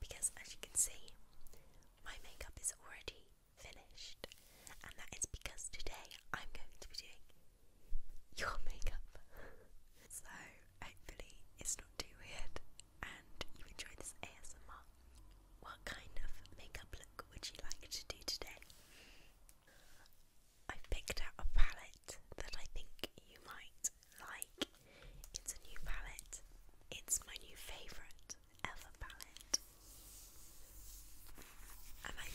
because as you can see, my makeup is already finished, and that is because today I'm going to be doing your makeup. so, hopefully, it's not too weird and you enjoy this ASMR. What kind of makeup look would you like to do today? I've picked out a palette that I think you might like it's a new palette. It's my new favourite ever palette. And I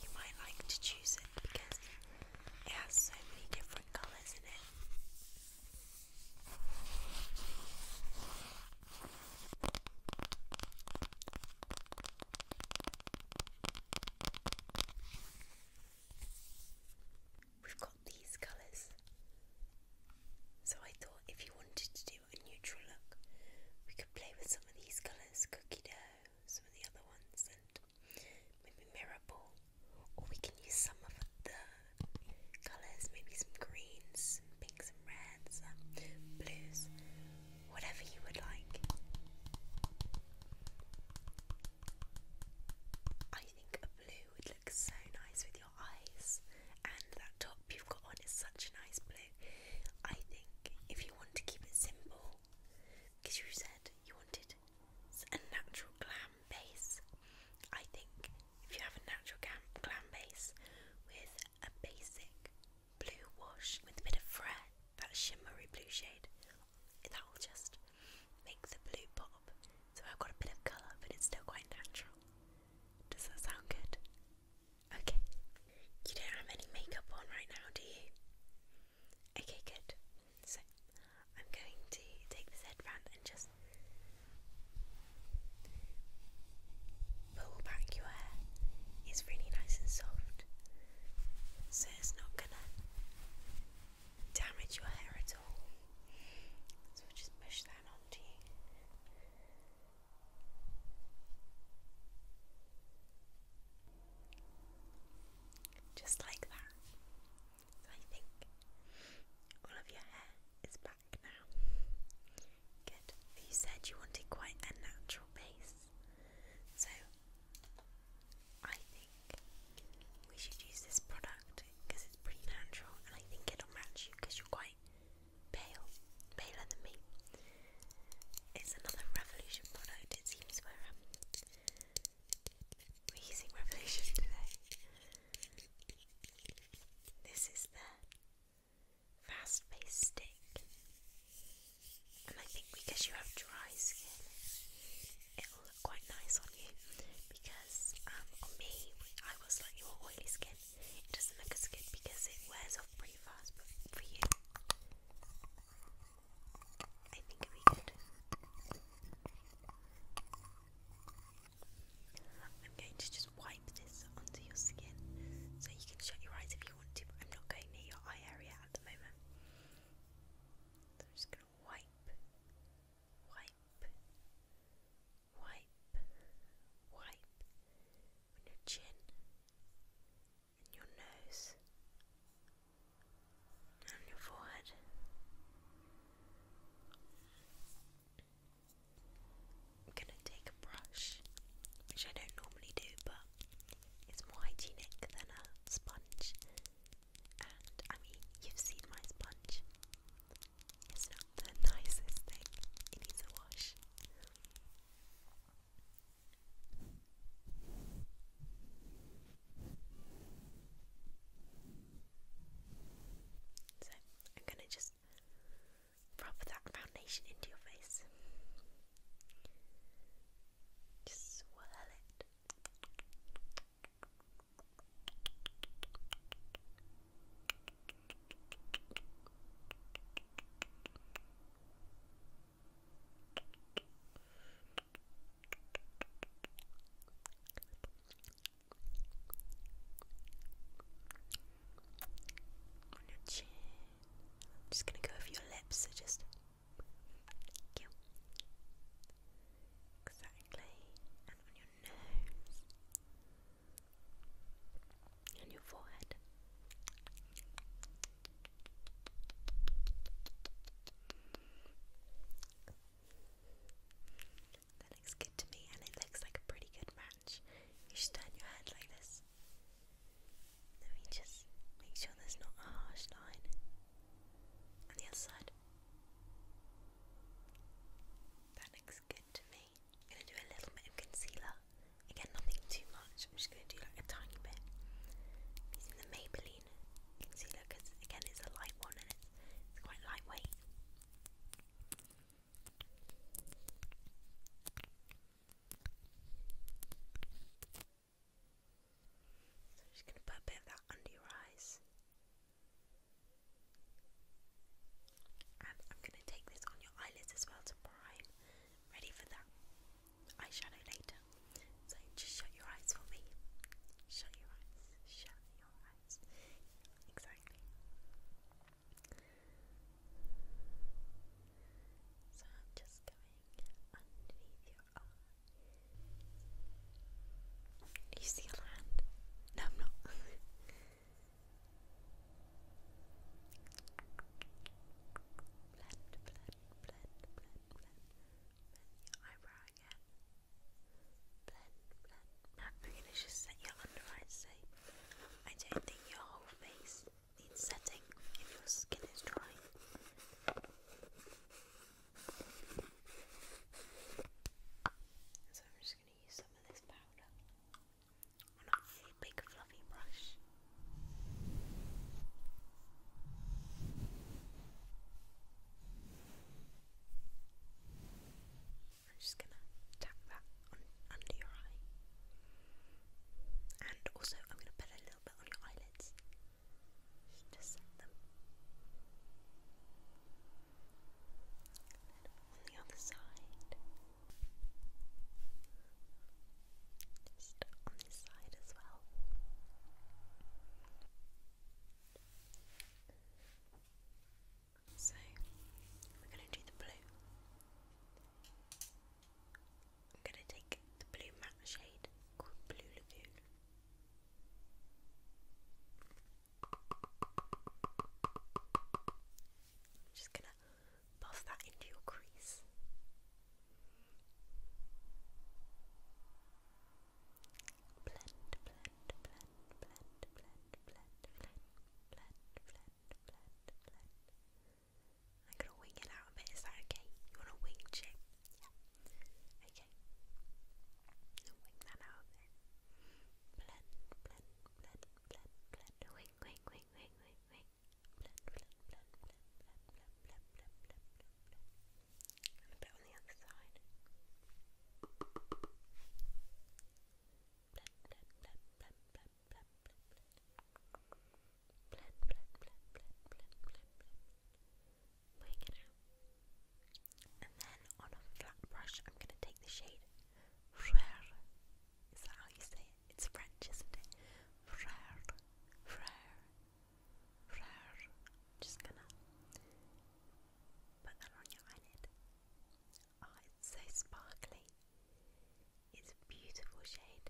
you might like to choose it because it has so many different colours in it we've got these colours. So I thought if you wanted to do a neutral look, we could play with some of these colours, cookie dough, some of the other ones, and maybe mirror Or we can use some of the colours, maybe some greens, pinks, and reds, blues, whatever you would like. I think a blue would look so nice with your eyes, and that top you've got on is such a nice blue. I think if you want to keep it simple, because you said you wanted a natural glam base, I think if you have a natural glam, glam base with a basic blue wash with a bit of fret, that shimmery blue shade, that will just make the blue pop so I've got a bit of colour, but it's still quite natural. Does that sound good? Okay. You don't have any makeup on right now, do you? Okay, good. So I'm going to take this headband and just pull back your hair. It's really nice and soft, so it's not gonna damage your hair at all. So just push that onto you. Just like that. I think all of your hair is back now. Good. You said you wanted quite a natural base. So I think we should use this product because it's pretty natural and I think it'll match you because you're quite pale, paler than me. It's another Revolution product, it seems we we're using um, Revolution today. This is the fast face stick. And I think because you have dry skin, it'll look quite nice on you because um, me, I got slightly more oily skin. It doesn't look as good because it wears off pretty fast, but for you, I think it'd be good. I'm going to just wipe this onto your skin so you can shut your eyes if you want to, I'm not going near your eye area at the moment. I'm just going to wipe wipe, wipe, wipe your chin and your nose and your forehead. I'm going to take a brush, which I don't normally do, but it's more hygienic than a sponge. And I mean, you've seen my sponge. It's not the nicest thing, it needs a wash. So, I'm going to just rub that foundation into your face. Just swirl it. On your chin. just gonna go over your lips, so just thank you. Exactly. And on your nose. And your forehead. That looks good to me, and it looks like a pretty good match. You should turn your hand like this. Let me just make sure there's not a harsh line on the other side. That looks good to me. I'm gonna do a little bit of concealer. Again, nothing too much. I'm just gonna do like a tiny bit. using the Maybelline concealer again, it's a light one and it's quite lightweight. So I'm just going to put a bit of that under your eyes. And I'm going to take this on your eyelids as well to prime. Ready for that eyeshadow later. So just shut your eyes for me. Shut your eyes. Shut your eyes. Exactly. So I'm just going underneath your eye. New Zealand. No, I'm not. blend, blend, blend, blend, blend. your eyebrow again. Blend, blend. I'm gonna just set your under eyes safe. I don't think your whole face needs setting if your skin is dry. So I'm just going to use some of this powder on a big fluffy brush. I'm just going to tap that under your eye. And also, I'm going to put a little bit on your eyelids. Just set them. on the other side. Just on this side as well. So, we're going to do the blue. I'm going to take the blue matte shade called Blue Lagoon. I'm just gonna pass that into your crease. Blend, blend, blend, blend, blend, blend, blend, blend, blend, blend, blend. I'm wing it out a bit, is that okay? You wanna wing shape? Okay. Wing that out Blend, blend, blend, blend, blend. Wing, wing, wing, wing, wing, Blend, blend, blend, blend, blend, blend, blend, blend, blend, blend, blend. And a on the other side. blend, blend. Blend, blend, blend, blend, blend, blend, blend. And then on a flat brush, I'm going to take the shade Frère. Is that how you say it? It's French, isn't it? Frère, frère, frère. Just gonna put that on your eyelid. Ah, so sparkly. It's a beautiful shade.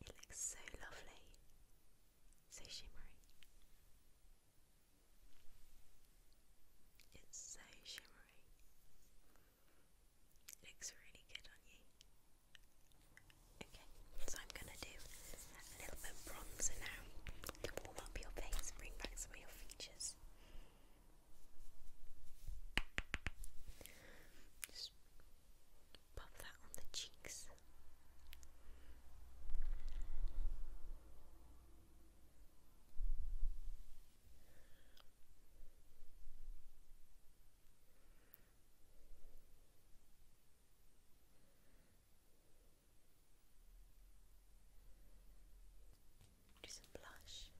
It looks so lovely, so shimmery. It's so shimmery. looks really good on you. Okay, so I'm gonna do a little bit bronzer now to warm up your face, bring back some of your features. Pop that on the cheeks. Do some blush.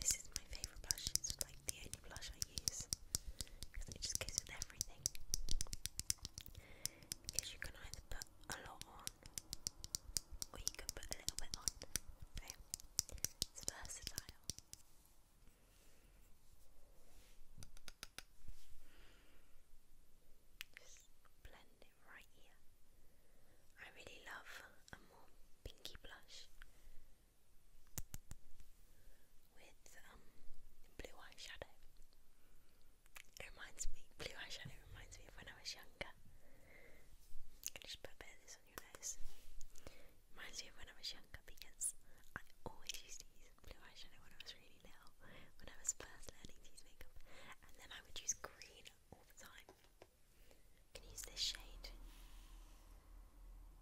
This is my favorite blush just like the only blush I use because it just goes with everything. Because you can either put a lot on or you can put a little bit on. So it's versatile. Just blend it right here. I really love a more pinky blush with um, blue eyeshadow. It reminds me, blue eyeshadow reminds me of when I was younger. can just put a bit of this on your nose. Reminds me of when I was younger because I always used to blue eyeshadow when I was really little, when I was first learning to use makeup, and then I would use green all the time. can use this shade.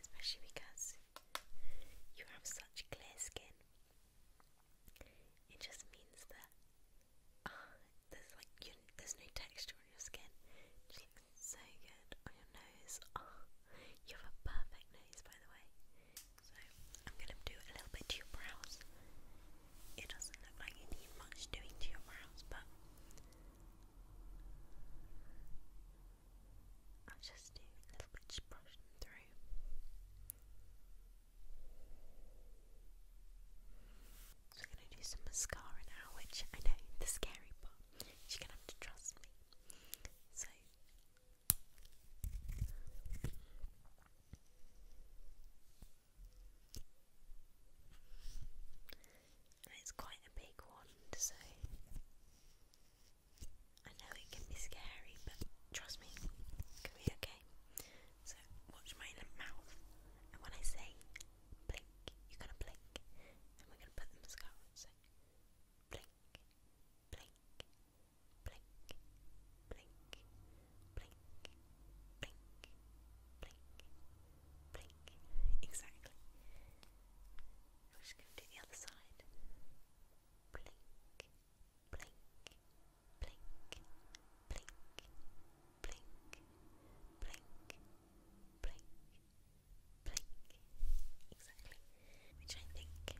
especially because you have such clear skin. It just means that ah, there's like there's no texture on your skin. so good on your nose. Ah, you have a perfect nose, by the way. So I'm gonna do a little bit to your brows. It doesn't look like you need much doing to your brows, but I'll just do a little bit, just brush them through. So I'm going to do some mascara now, which I know the scary part. you going to have to trust me. So and it's quite a big one, so I know it can be scary, but trust me, it can be okay. So watch my mouth, and when I say blink, you're gonna blink, and we're gonna put the mascara on. So blink, blink, blink, blink, blink, blink, blink, blink, Blink. Exactly. We're just going to do the other side. Blink. Blink. Blink. Blink. Blink. Blink. Blink. Blink. Exactly. Which I think will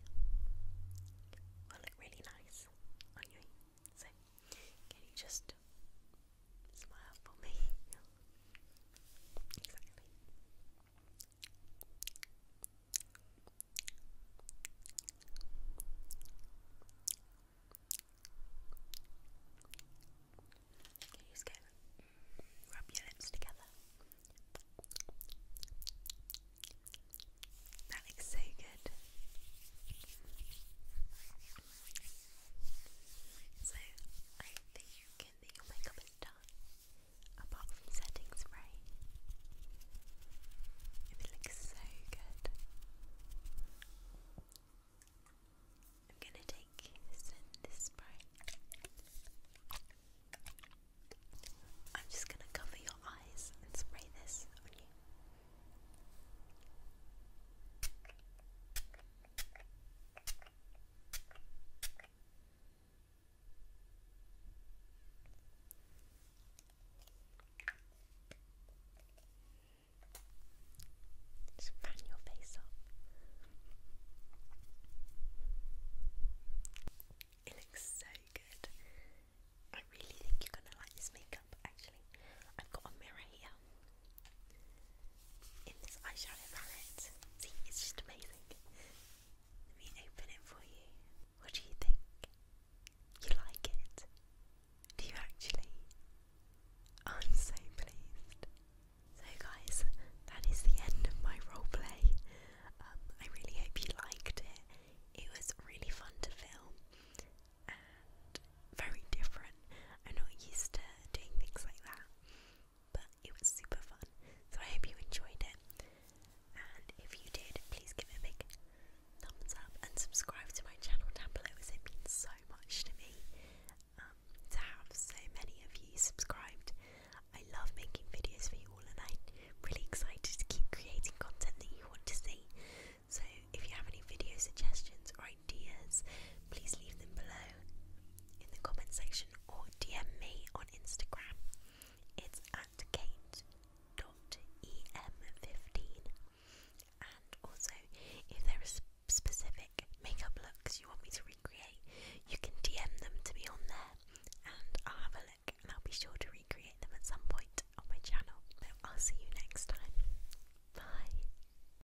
look really nice on you. So just Smile for me. exactly. rub your lips together. That looks so good. So I think you can that your makeup is done, apart from setting spray. It looks so good. I'm gonna take this, this spray. I'm just gonna cover your eyes and spray this on you. Just fan your face up. It looks so good. I really think you're gonna like this makeup actually. I've got a mirror here in this eyeshadow palette. See, it's just amazing. Let me open it for you. What do you think? You like it? Do you actually? I'm so pleased. So, guys, that is the end of my roleplay. Um, I really hope you liked it. It was really fun to film, very different. I'm not used to doing things like that, but it was super fun. So I hope you enjoyed it. And if you did, please give it a big thumbs up and subscribe to my channel down below as it means so much to me um, to have so many of you subscribed. I love making videos for you all and I'm really excited to keep creating content that you want to see. So if you have any video suggestions or ideas, please leave them below in the comment section or DM me on Instagram. It's at kate.em15. And also, if there are specific makeup looks you want me to recreate, you can DM them to me on there and I'll have a look and I'll be sure to recreate them at some point on my channel. I'll see you next time. Bye.